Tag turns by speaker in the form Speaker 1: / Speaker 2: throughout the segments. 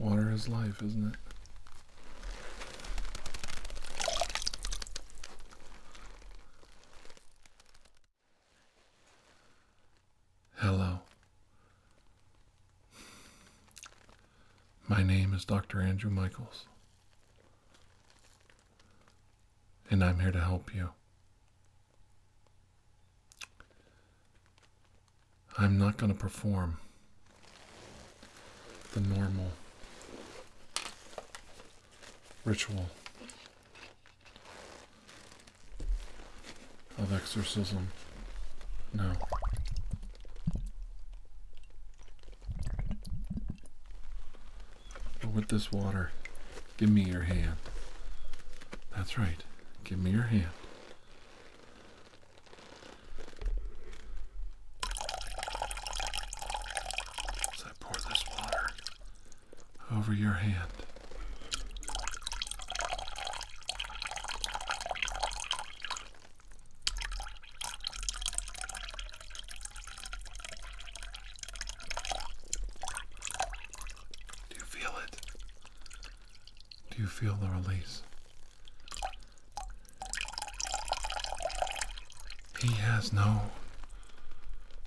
Speaker 1: Water is life, isn't it? Hello. My name is Dr. Andrew Michaels and I'm here to help you. I'm not going to perform the normal ritual of exorcism. No with this water, give me your hand. That's right. Give me your hand. As I pour this water over your hand. Do you feel it? Do you feel the release? He has no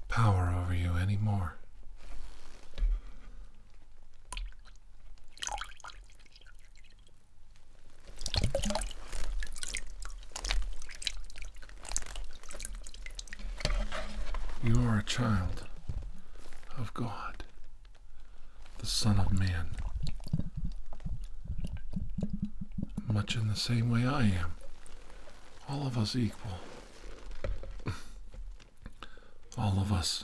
Speaker 1: power over you anymore. You are a child of God, the Son of Man, much in the same way I am, all of us equal, all of us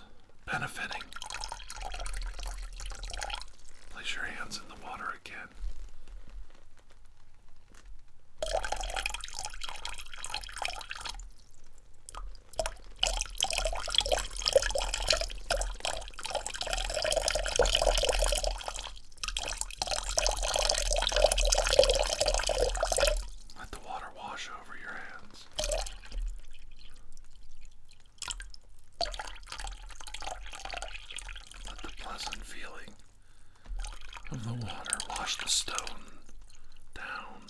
Speaker 1: benefiting. Place your hands in the water again. Let the water wash over your hands. Let the pleasant feeling of the water. Wash the stone down.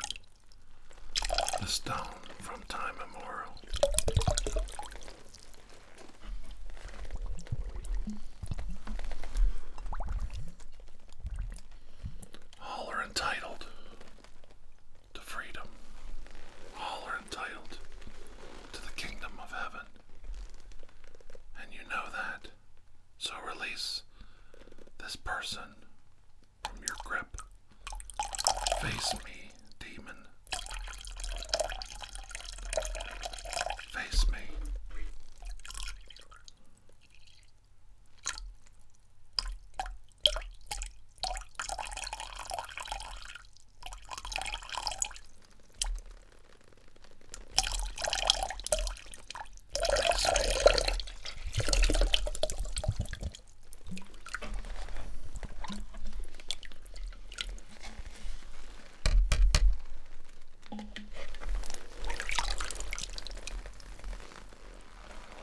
Speaker 1: The stone from time immemorial. All are entitled to freedom. All are entitled to the kingdom of heaven. And you know that. So release this person from your grip. Face me, demon. Face me. Do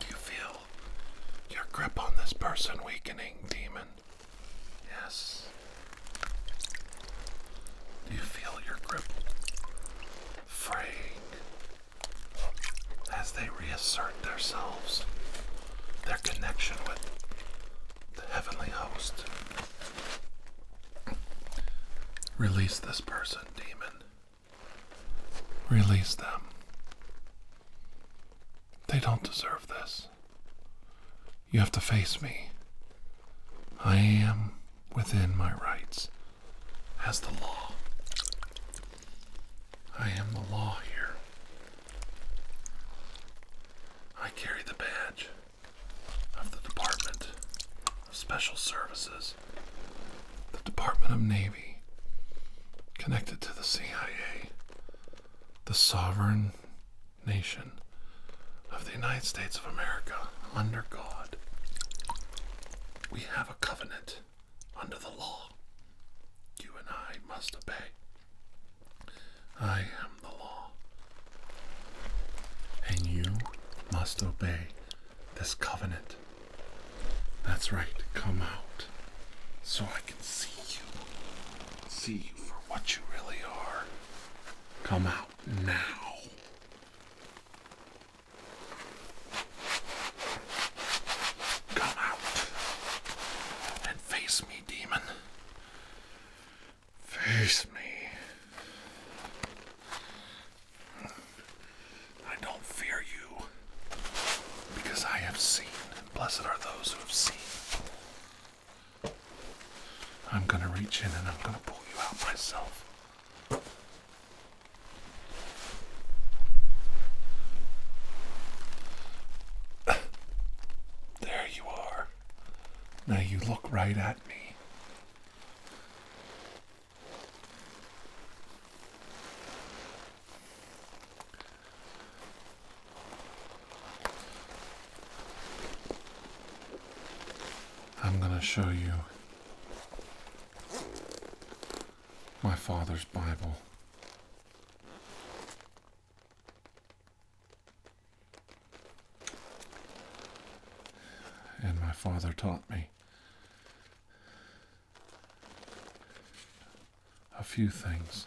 Speaker 1: you feel your grip on this person weakening, demon? Yes you feel your grip fraying as they reassert themselves, their connection with the heavenly host? Release this person, demon. Release them. They don't deserve this. You have to face me. I am within my rights as the law. I am the law here. I carry the badge of the Department of Special Services, the Department of Navy, connected to the CIA, the sovereign nation of the United States of America under God. We have a covenant under the law. You and I must obey. I am the law. And you must obey this covenant. That's right, come out so I can see you. See you for what you really are. Come out now. Come out and face me, demon. Face me. I don't fear you because I have seen, and blessed are those who have seen I'm going to reach in and I'm going to pull you out myself. There you are. Now you look right at me. I'm going to show you my father's Bible. And my father taught me a few things.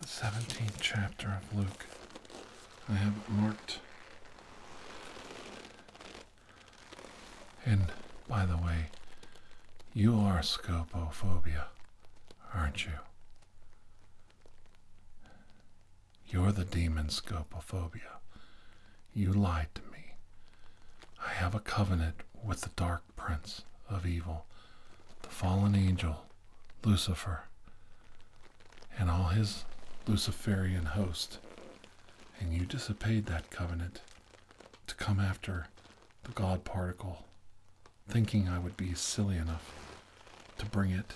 Speaker 1: the 17th chapter of Luke. I have it marked. And by the way, you are scopophobia, aren't you? You're the demon scopophobia. You lied to me. I have a covenant with the dark prince of evil, the fallen angel, Lucifer, and all his Luciferian host. And you disobeyed that covenant to come after the God particle, thinking I would be silly enough to bring it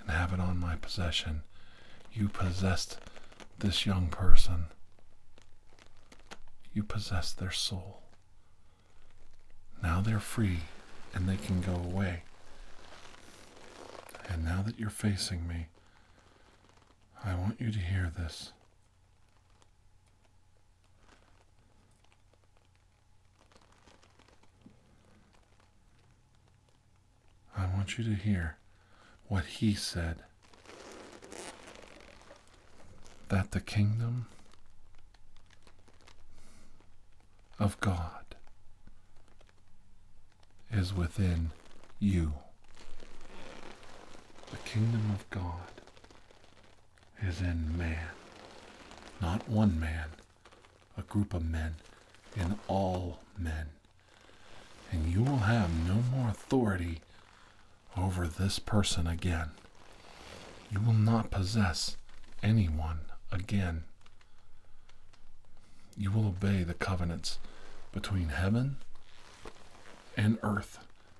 Speaker 1: and have it on my possession. You possessed this young person. You possessed their soul. Now they're free and they can go away. And now that you're facing me, I want you to hear this. I want you to hear what he said that the kingdom of God is within you. The kingdom of God is in man. Not one man, a group of men, in all men. And you will have no more authority over this person again. You will not possess any one again. You will obey the covenants between heaven and earth.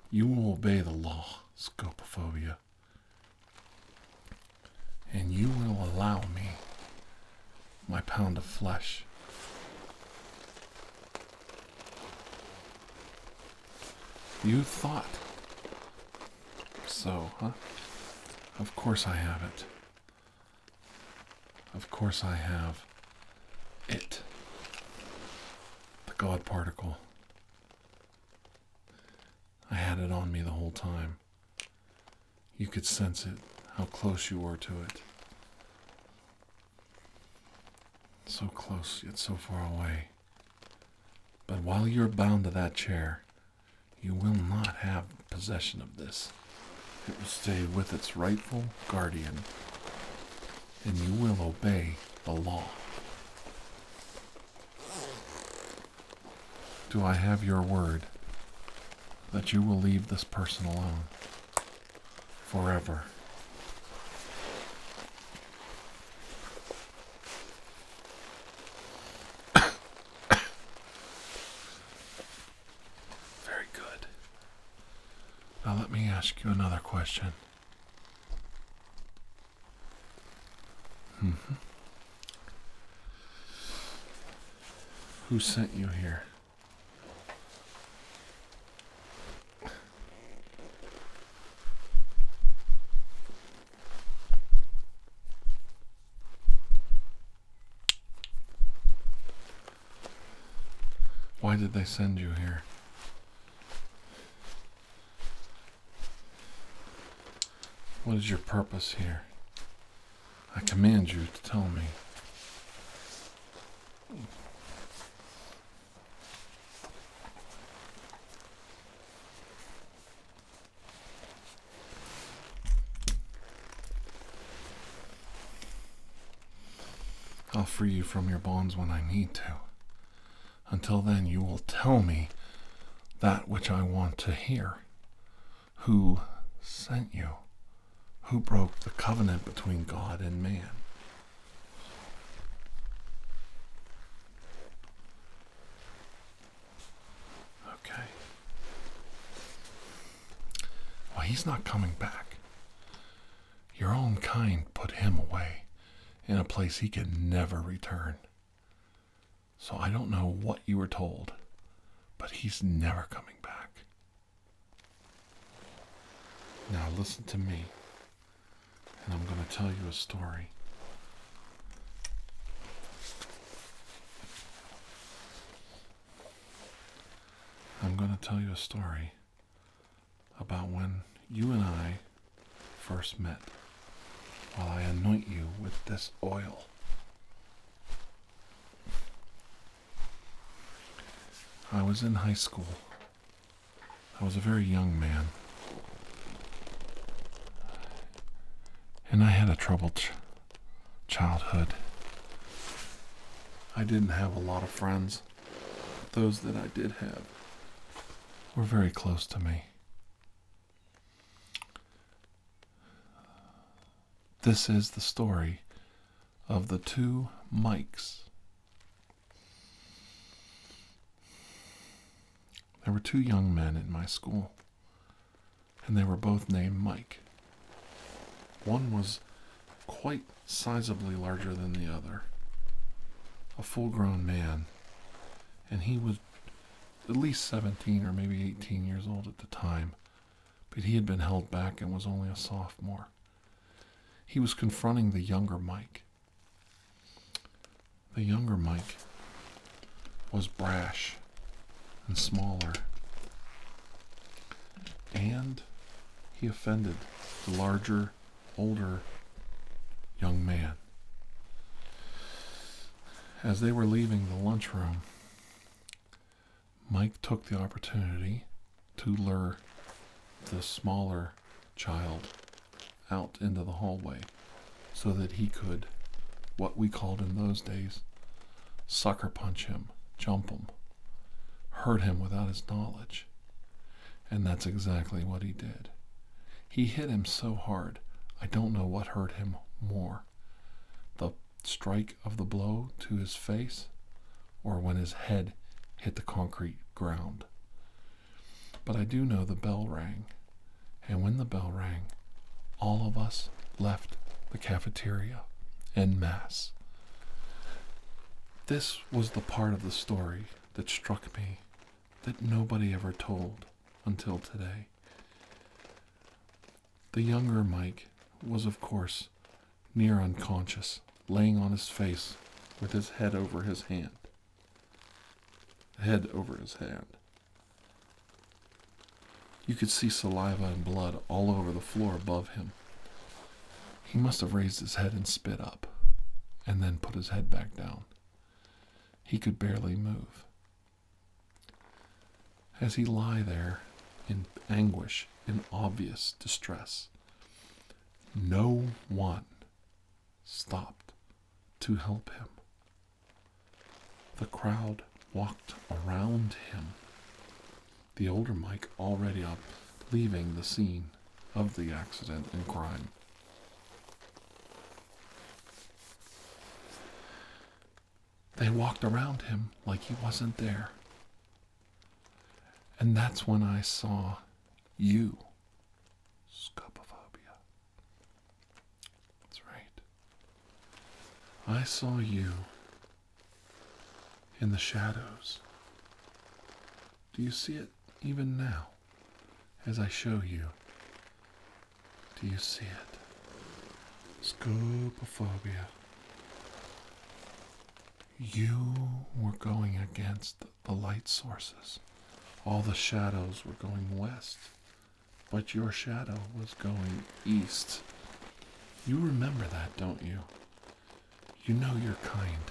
Speaker 1: You will obey the law, scopophobia. And you will allow me my pound of flesh. You thought. So, huh? Of course I have it. Of course I have it. The God particle. I had it on me the whole time. You could sense it, how close you were to it. So close, yet so far away. But while you're bound to that chair, you will not have possession of this. It will stay with its rightful guardian, and you will obey the law. Do I have your word that you will leave this person alone forever? Very good. Now let me ask you another question. Mm-hmm. Who sent you here? Why did they send you here? What is your purpose here? I command you to tell me. I'll free you from your bonds when I need to. Until then, you will tell me that which I want to hear. Who sent you? Who broke the covenant between God and man? Okay. Well, he's not coming back. Your own kind put him away in a place he can never return. So I don't know what you were told, but he's never coming back. Now listen to me and I'm going to tell you a story. I'm going to tell you a story about when you and I first met while I anoint you with this oil. I was in high school I was a very young man. And I had a troubled childhood. I didn't have a lot of friends. Those that I did have were very close to me. This is the story of the two Mikes. There were two young men in my school, and they were both named Mike. One was quite sizably larger than the other, a full grown man, and he was at least 17 or maybe 18 years old at the time, but he had been held back and was only a sophomore. He was confronting the younger Mike, the younger Mike was brash and smaller, and he offended the larger, older young man. As they were leaving the lunchroom, Mike took the opportunity to lure the smaller child out into the hallway so that he could, what we called in those days, sucker punch him, jump him, hurt him without his knowledge. And that's exactly what he did. He hit him so hard, I don't know what hurt him more the strike of the blow to his face or when his head hit the concrete ground. But I do know the bell rang, and when the bell rang, all of us left the cafeteria en masse. This was the part of the story that struck me that nobody ever told until today. The younger Mike was, of course, near unconscious, laying on his face with his head over his hand head over his hand. You could see saliva and blood all over the floor above him. He must have raised his head and spit up, and then put his head back down. He could barely move. As he lay there in anguish, in obvious distress, no one stopped to help him. The crowd walked around him. The older Mike already up, leaving the scene of the accident and crime. They walked around him like he wasn't there. And that's when I saw you, Scopophobia. That's right. I saw you in the shadows. Do you see it even now as I show you? Do you see it? phobia. You were going against the light sources. All the shadows were going west but your shadow was going east. You remember that, don't you? You know your kind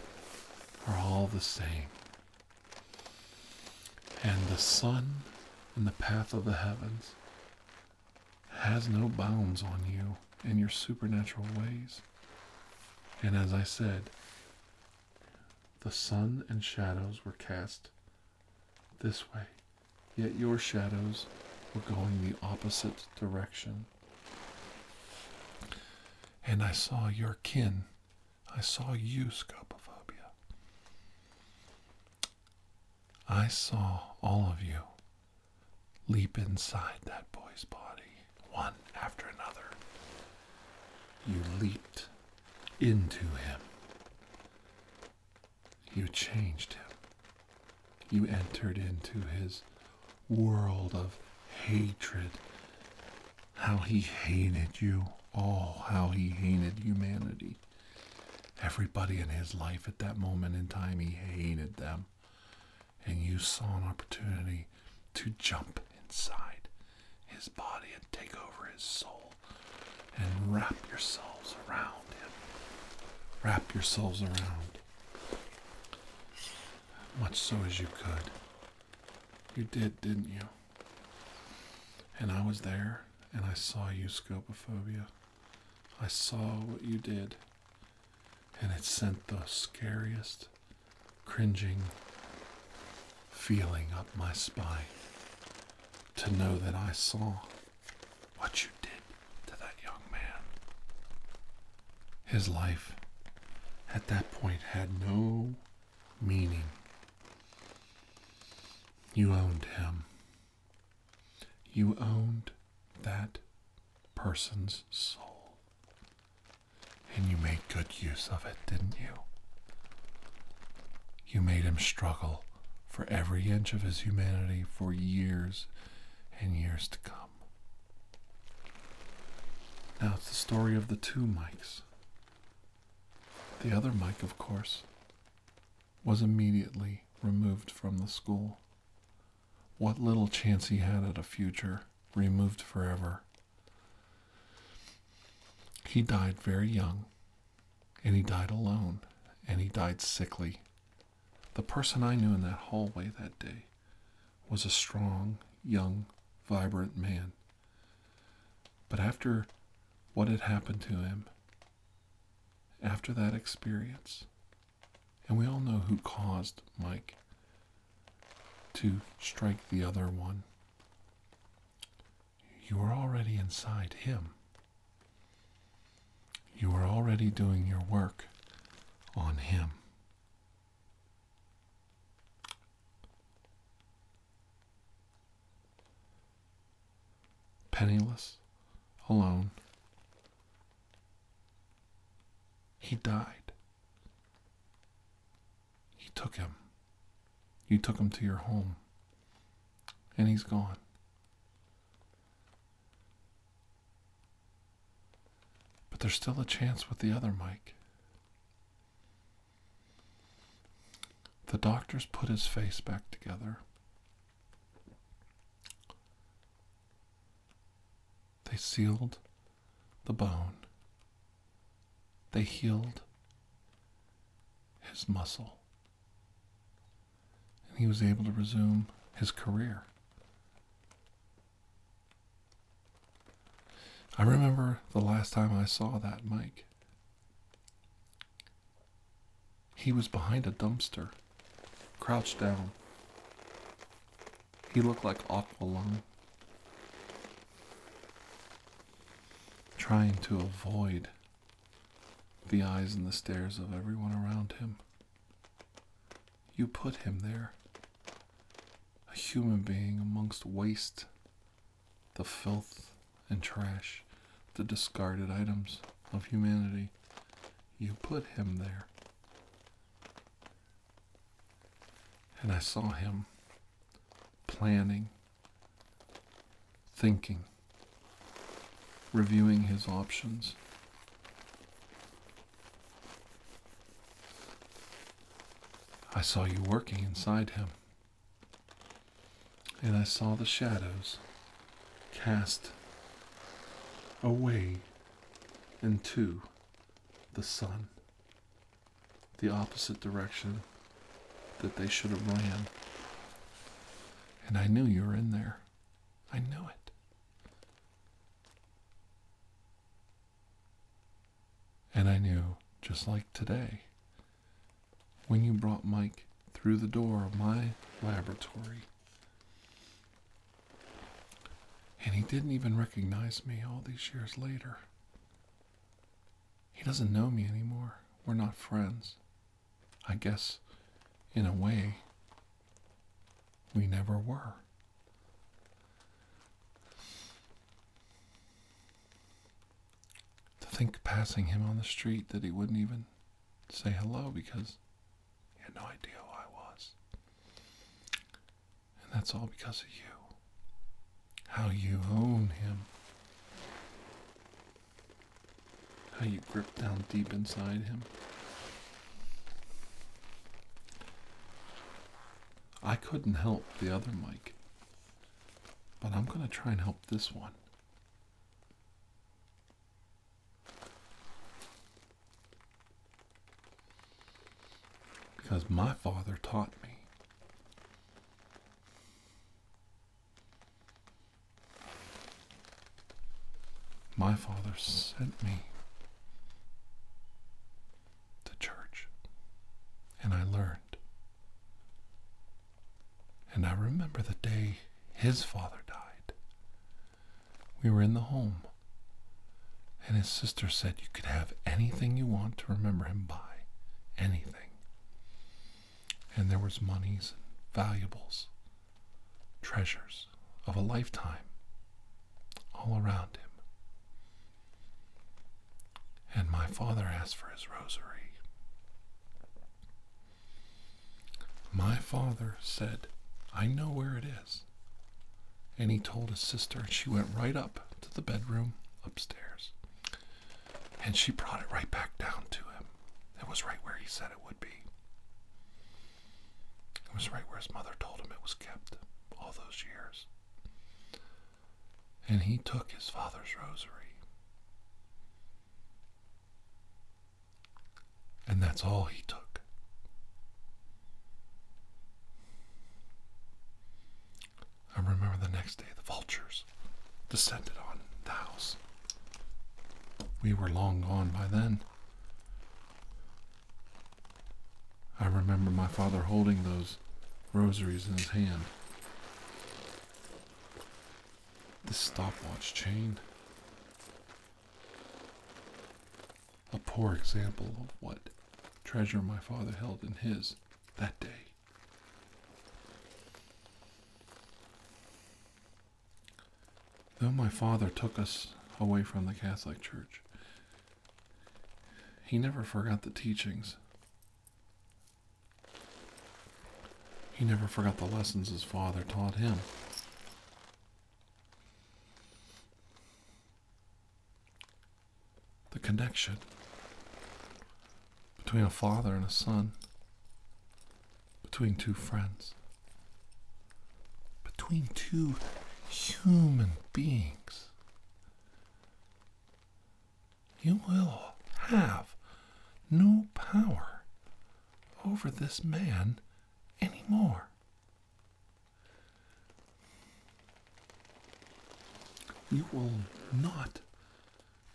Speaker 1: are all the same. And the sun in the path of the heavens has no bounds on you and your supernatural ways. And as I said, the sun and shadows were cast this way, yet your shadows were going the opposite direction. And I saw your kin. I saw you, Scopophobia. I saw all of you leap inside that boy's body, one after another. You leaped into Him. You changed Him. You entered into His world of hatred. How He hated you all, how He hated humanity. Everybody in His life at that moment in time, He hated them. And you saw an opportunity to jump inside his body and take over his soul and wrap yourselves around him. Wrap yourselves around. Much so as you could. You did, didn't you? And I was there and I saw you, Scopophobia. I saw what you did. And it sent the scariest, cringing, feeling up my spine to know that I saw what you did to that young man. His life at that point had no meaning. You owned him. You owned that person's soul. And you made good use of it, didn't you? You made him struggle for every inch of his humanity for years and years to come. Now it's the story of the two Mikes. The other Mike, of course, was immediately removed from the school. What little chance he had at a future, removed forever. He died very young and he died alone, and he died sickly. The person I knew in that hallway that day was a strong, young, vibrant man. But after what had happened to him, after that experience, and we all know who caused Mike to strike the other one you are already inside Him. You are already doing your work on Him. Penniless, alone, he died. He took him. You took him to your home. And he's gone. But there's still a chance with the other Mike. The doctors put his face back together. They sealed the bone. They healed his muscle and he was able to resume his career. I remember the last time I saw that Mike. He was behind a dumpster, crouched down. He looked like Ott trying to avoid the eyes and the stares of everyone around him. You put him there, a human being amongst waste, the filth and trash, the discarded items of humanity. You put him there. And I saw him planning thinking, reviewing his options. I saw you working inside him, and I saw the shadows cast away into the sun, the opposite direction that they should have ran. And I knew you were in there. I knew it. And I knew, just like today, when you brought Mike through the door of my laboratory. And he didn't even recognize me all these years later. He doesn't know me anymore. We're not friends. I guess, in a way, we never were. To think passing him on the street that he wouldn't even say hello because he had no idea who I was. And that's all because of you. How you own him. How you grip down deep inside him. I couldn't help the other Mike, but I'm going to try and help this one. Because my father taught me my Father sent me to church, and I learned. And I remember the day his father died. We were in the home, and his sister said you could have anything you want to remember him by. Anything and there was monies, valuables, treasures of a lifetime all around him. And my father asked for his rosary. My father said, I know where it is. And he told his sister, and she went right up to the bedroom upstairs. And she brought it right back down to him. It was right where he said it would be. It was right where his mother told him it was kept all those years. And he took his father's rosary. And that's all he took. I remember the next day, the vultures descended on the house. We were long gone by then. I remember my father holding those rosaries in his hand. This stopwatch chain. A poor example of what treasure my father held in his that day. Though my father took us away from the Catholic Church, he never forgot the teachings. He never forgot the lessons his father taught him. The connection between a father and a son, between two friends, between two human beings. You will have no power over this man anymore. You will not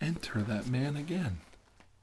Speaker 1: enter that man again.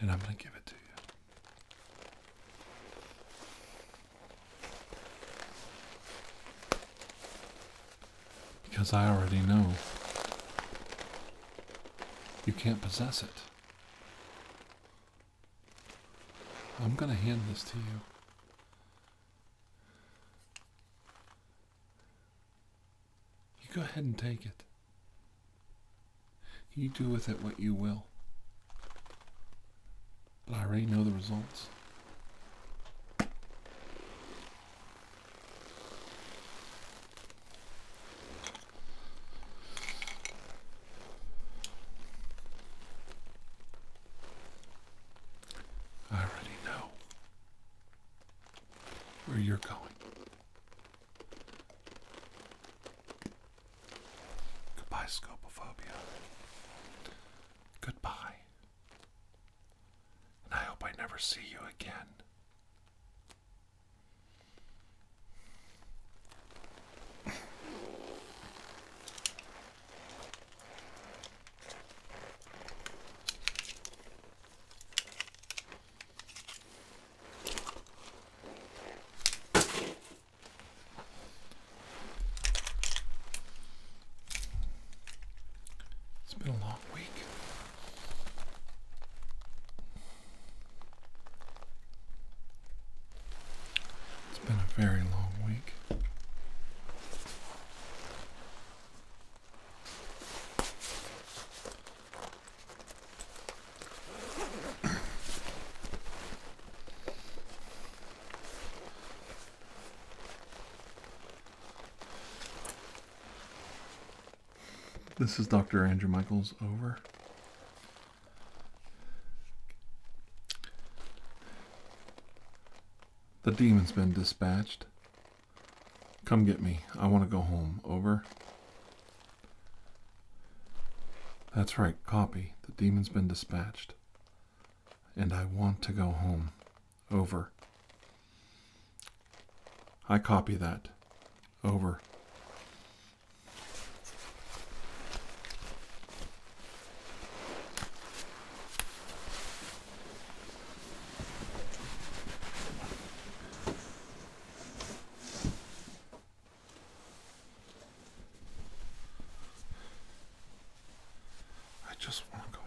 Speaker 1: and I'm going to give it to you. Because I already know you can't possess it. I'm going to hand this to you. You go ahead and take it. You do with it what you will. But I already know the results. I already know where you're going. Goodbye, Scopophobia. Goodbye. And I hope I never see you again. It's been a long week. It's been a very long week. This is Dr. Andrew Michaels over. The demon's been dispatched. Come get me. I want to go home. Over. That's right, copy. The demon's been dispatched. And I want to go home. Over. I copy that. Over. I just want to go home.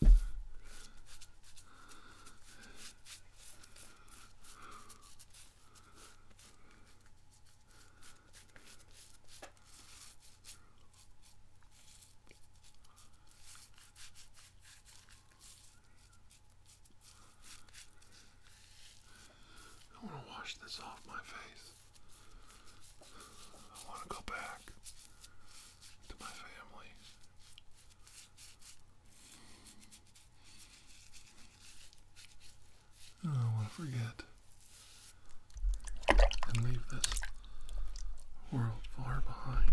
Speaker 1: I want to wash this off my face. I want to go back to my family. I don't want to forget and leave this world far behind.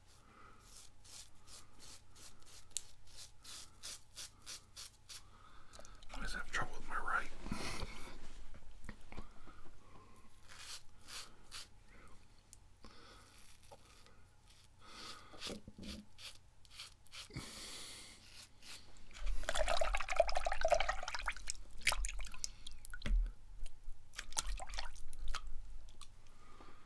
Speaker 1: I am having trouble with my right.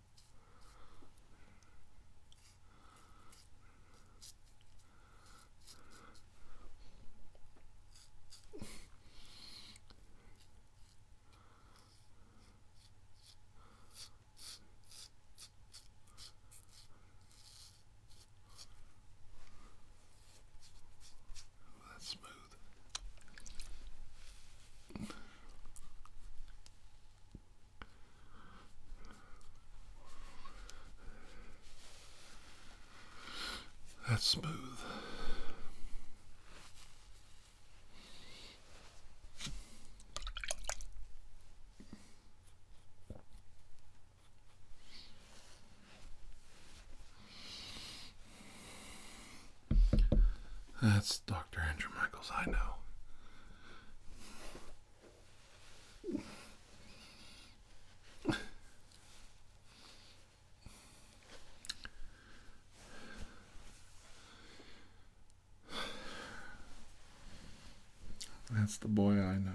Speaker 1: That's smooth. That's smooth. That's Dr. Andrew Michaels, I know. That's the boy I know.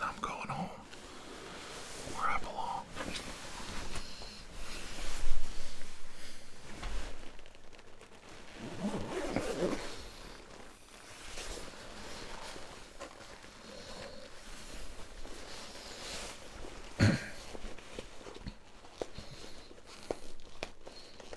Speaker 1: I'm going home where I belong.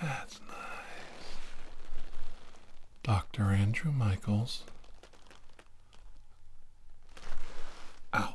Speaker 1: That's nice. Dr. Andrew Michaels out.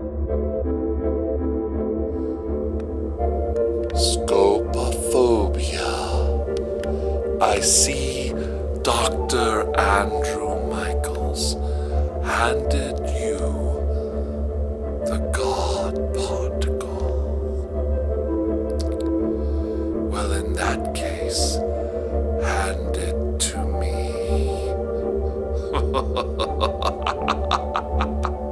Speaker 1: Scopophobia. I see Dr. Andrew Michaels handed you the God particle. Well, in that case, hand it to me.